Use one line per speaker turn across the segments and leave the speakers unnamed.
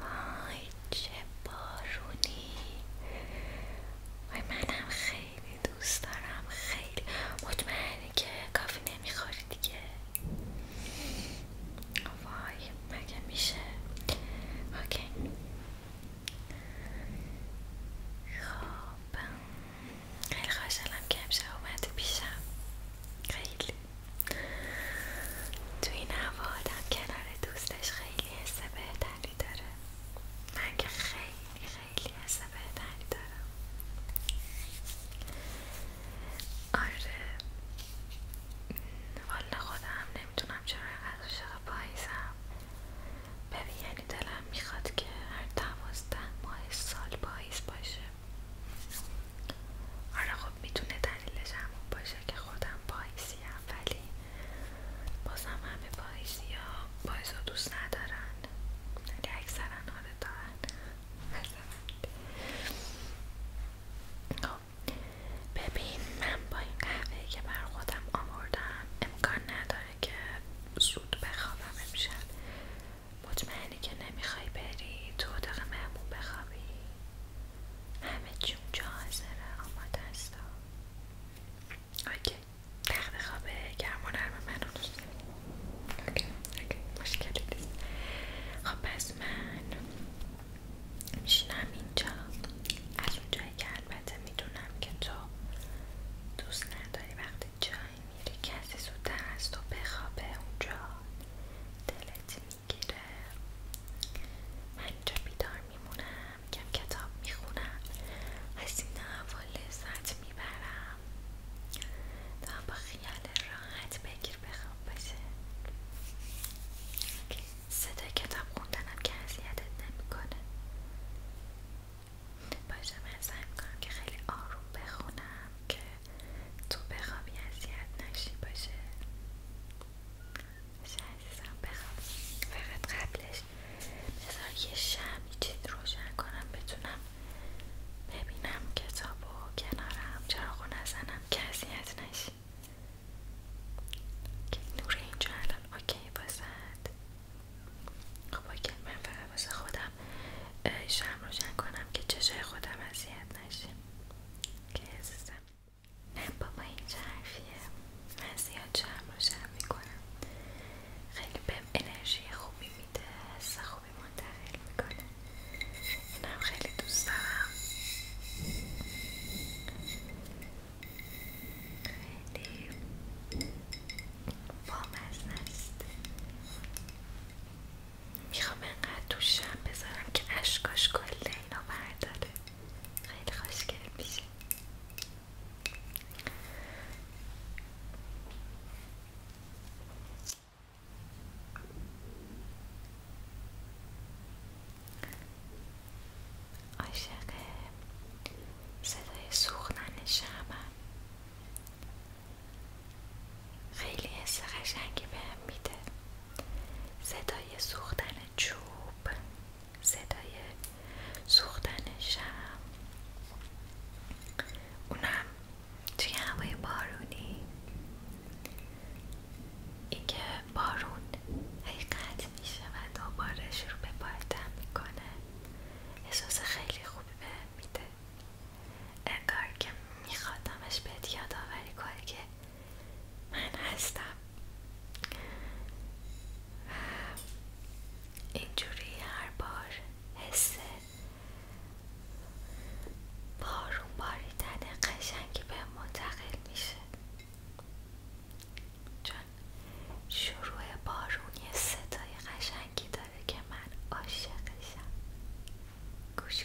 وای چه بارونی وای منم خیلی دوست دارم خیلی مطمئنی که کافی نمیخوری دیگه وای مگه میشه اوکی خب، خیلی خوشحالم که امشب اومدی پیشم خیلی تو این هوا آدم کنار دوستش خیلی حس بهتری داره من که خیلی خیلی حس بهتری دارم آره والا خودم نمیتونم چرا اینقدر شده پاییزم ببین یعنی دلم میخواد که هر دوازده ماه سال پاییز باشه آره خوب میتونه دلیلش همون باشه که خودم پاییزیم ولی بازم همه پایزی ها پاییز ها دوست ندارن ولی یعنی اکثرا آره خب، ببین من با این قهوه که بر خودم آوردم امکان نداره که زود بخوابم امشب مطمئنی که نمیخوای بری تو اتاق مهمون بخوابی همه چی اونجا حاضره آماده است اوکی خوابه گرم من رو دوست اوکی مشکلی نیست خب پس من میشینم اینجا از اونجایی که البته میدونم که تو دوست نداری وقتی جایی میری کسی زودتر از تو بخوابه اونجا دلت میگیره من اینجا بیدار میمونم کم کتاب میخونم از این لذت میبرم تا با خیال راحت بگیر بخواب بشه صدای کتاب خوندنم که اذیتت نمیکنه باشه من سعی میکنم که خیلی آروم بخونم که تو بخوابی اذیت نشی باشه باشه عزیزم بخواب فقط قبلش بذار یه شمی روشن کنم بتونم ببینم کتاب و کنارم چراغو نزنم که اذیت نشی که نور اینجا الان اوکی بازد خب اوکی من فقط واسه خودم شم روشن کنم که چشای خودم اذیت نشی که نه بابا این چه حرفیه من زیاد چرم میکنم خیلی به انرژی خوبی میده حس خوبی منتقل میکنه اینم خیلی دوست دارم خیلی بامزه است میخوام انقدر تو بذارم که اشکاش کل اینا برداره خیلی خوشگل میشه عاشق صدای سوختن خیلی حس قشنگی بهم میده صدای سوختن چوب صدای سوختن شم اونم توی هوای بارونی اینکه بارون حقیقت میشه و دوباره شروع به میکنه احساس خیلی خوبی به میده انگار که میخوادمش بهت یادآوری کاری که من هستم و اینجوری هر بار حس بارون باریدن قشنگی به منتقل میشه چون شروع بارون یه صدای قشنگی داره که من عاشقشم گوش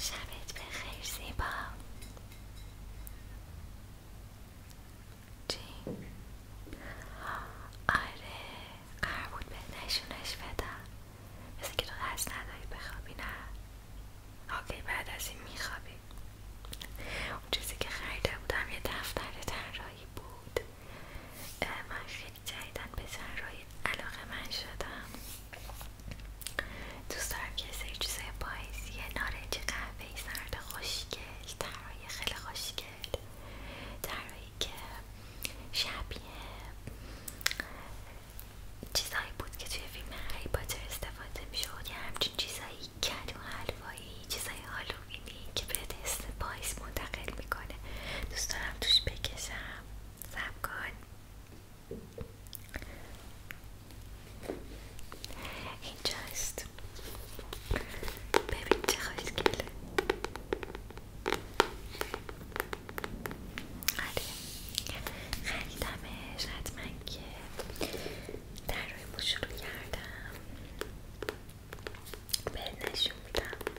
شبت بخیر زیبا چی؟ آره قرار بود به نشونش بدم مثل که تو قصد نداری بخوابی نه اوکی بعد از این میخوابی اون چیزی که خریده بودم یه دفتر طراحی بود من جدیدن به جراحی علاقه من شدم دوست دارم که سری یه یه نارنج قهوهی سرد خوشگل طراحی خیلی خوشگل طراحی که شبیه چیزهایی بود که توی فیلم هری استفاده میشد یه همچین چیزایی و حلوایی چیزای هالووینی که به دست پاییز منتقل میکنه دوست دارم توش بکشم سب کن اینجاست ببین چه خوشگله آره خریدمش حتما که در روی شروع کردم به نشون میدم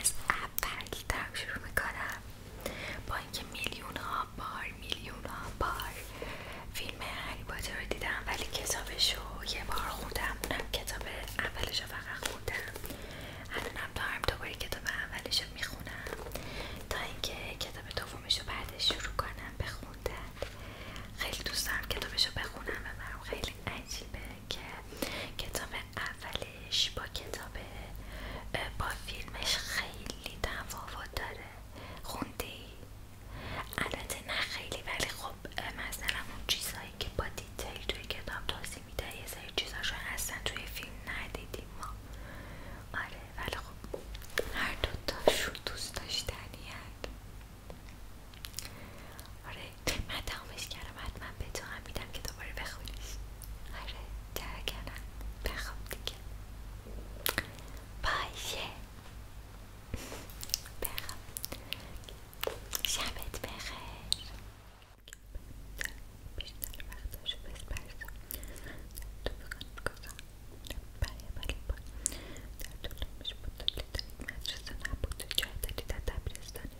از اول کتاب شروع میکنم با اینکه میلیون ها بار میلیون ها بار فیلم هری رو دیدم ولی کتابشو رو یه بار خوندم اونم کتاب اولش رو فقط خوندم الانم دارم دوباره کتاب اولش رو میخونم تا اینکه کتاب دومش رو بعدش شروع کنم بخوندم خیلی دوست دارم کتابش رو بخونم و خیلی عجیبه که کتاب اولش با کتاب با فیلمش خیلی تفاوت داره خوندی؟ البته نه خیلی ولی خب مثلا اون چیزهایی که با دیتیل توی کتاب توضیح میده یه سری چیزاشو اصلا توی فیلم ندیدیم ما آره ولی خب هر دوتاشون دوست داشتنی آره من تمامش کردم حتما به تو هم میدم که دوباره بخونیش آره درگرم بخواب دیگه باشه بخواب شبت بخیر بیشتر وقتاشو بس برای در بود عمرش مدرسه نبود جای در از دبیرستانی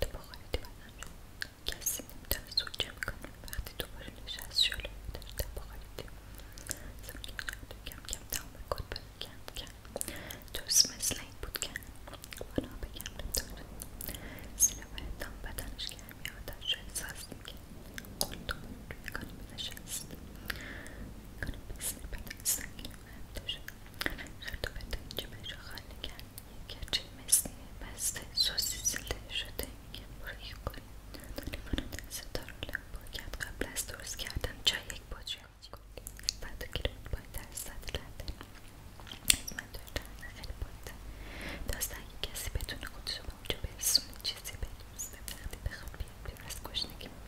تو با خودتی بدم کسی نمیتونه سوچه میکنه وقتی تو باشه نشست شلو کم کم تا کن بگم کم مثل این بود که بنا بگم نمیتونه سینه بهتم بدنش گرمی آتش رو احساس میکنه سنگین و هر خرطوبت اینجا رو خالی کرد یک کچه مثل بسته سوسیسی له شده که بروی کنید ریوان دست کرد قبل از درست کردن چای یک بطری آجی کنید بعد گیرون باید در صد رنده من خیلی باید اگه کسی بتونه اونجا برسونه چیزی بدونسته وقتی بخواد بیاد بیرون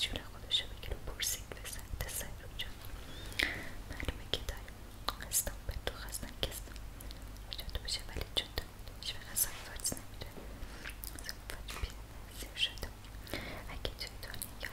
جور خودشو بگیر و پرسید به سمت سهراب جان معلومه که داریم خستم به تو خستم کستم تو بشه ولی چون تو هیچ نزیر اگه چند تا به کار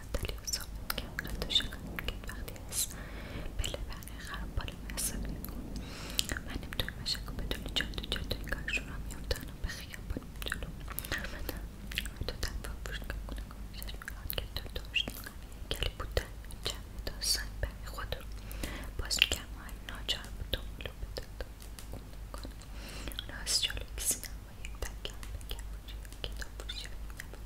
دلیل رو که کرد حتی که وقتی از پله برقی خراب بالا محساب نکن من نمیتونم اشکو بدونی جادو جادوی کارشون را میافتن و به خیابان جلو آمدم تو تنفا کنم که کنه کنشش که تو داشت گلی بودن چند داستان برای خود رو باز میگم های ناجار کسی یک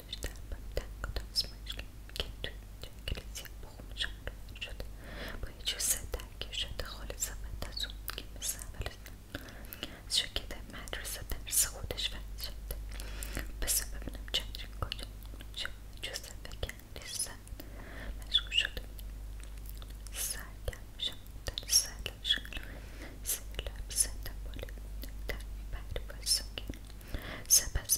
خودش در بدن کتاسمش کرد که توی اینجا کلیسیا بخون شده با یه جوسه درگیر شده خالص و از اون که مثل زیرا مدرسه درس خودش فرد شده بسه ببینم چندرین کجا شد جوسه مشغول شده سرگرم شدن سرلش سرلب زنده در بر بسنگی سپس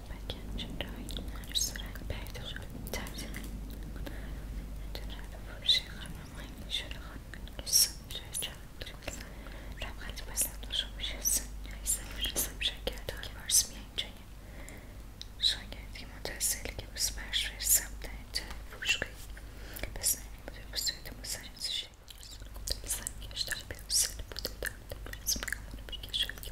بکنم چون سرنگ پیدا خواهد ترجمه جنرال فروشی خانم های نشون خانم دوستان جای چند رمغت بسند و شما شستن یا ایسا برسم شاگرد های بارس میان جایه شاگردی متحصیلی که بس برش برسم در اینجای فروشگاهی بس نمی بوده بسید مساجد شد بسید گشتار به اون بوده دارده که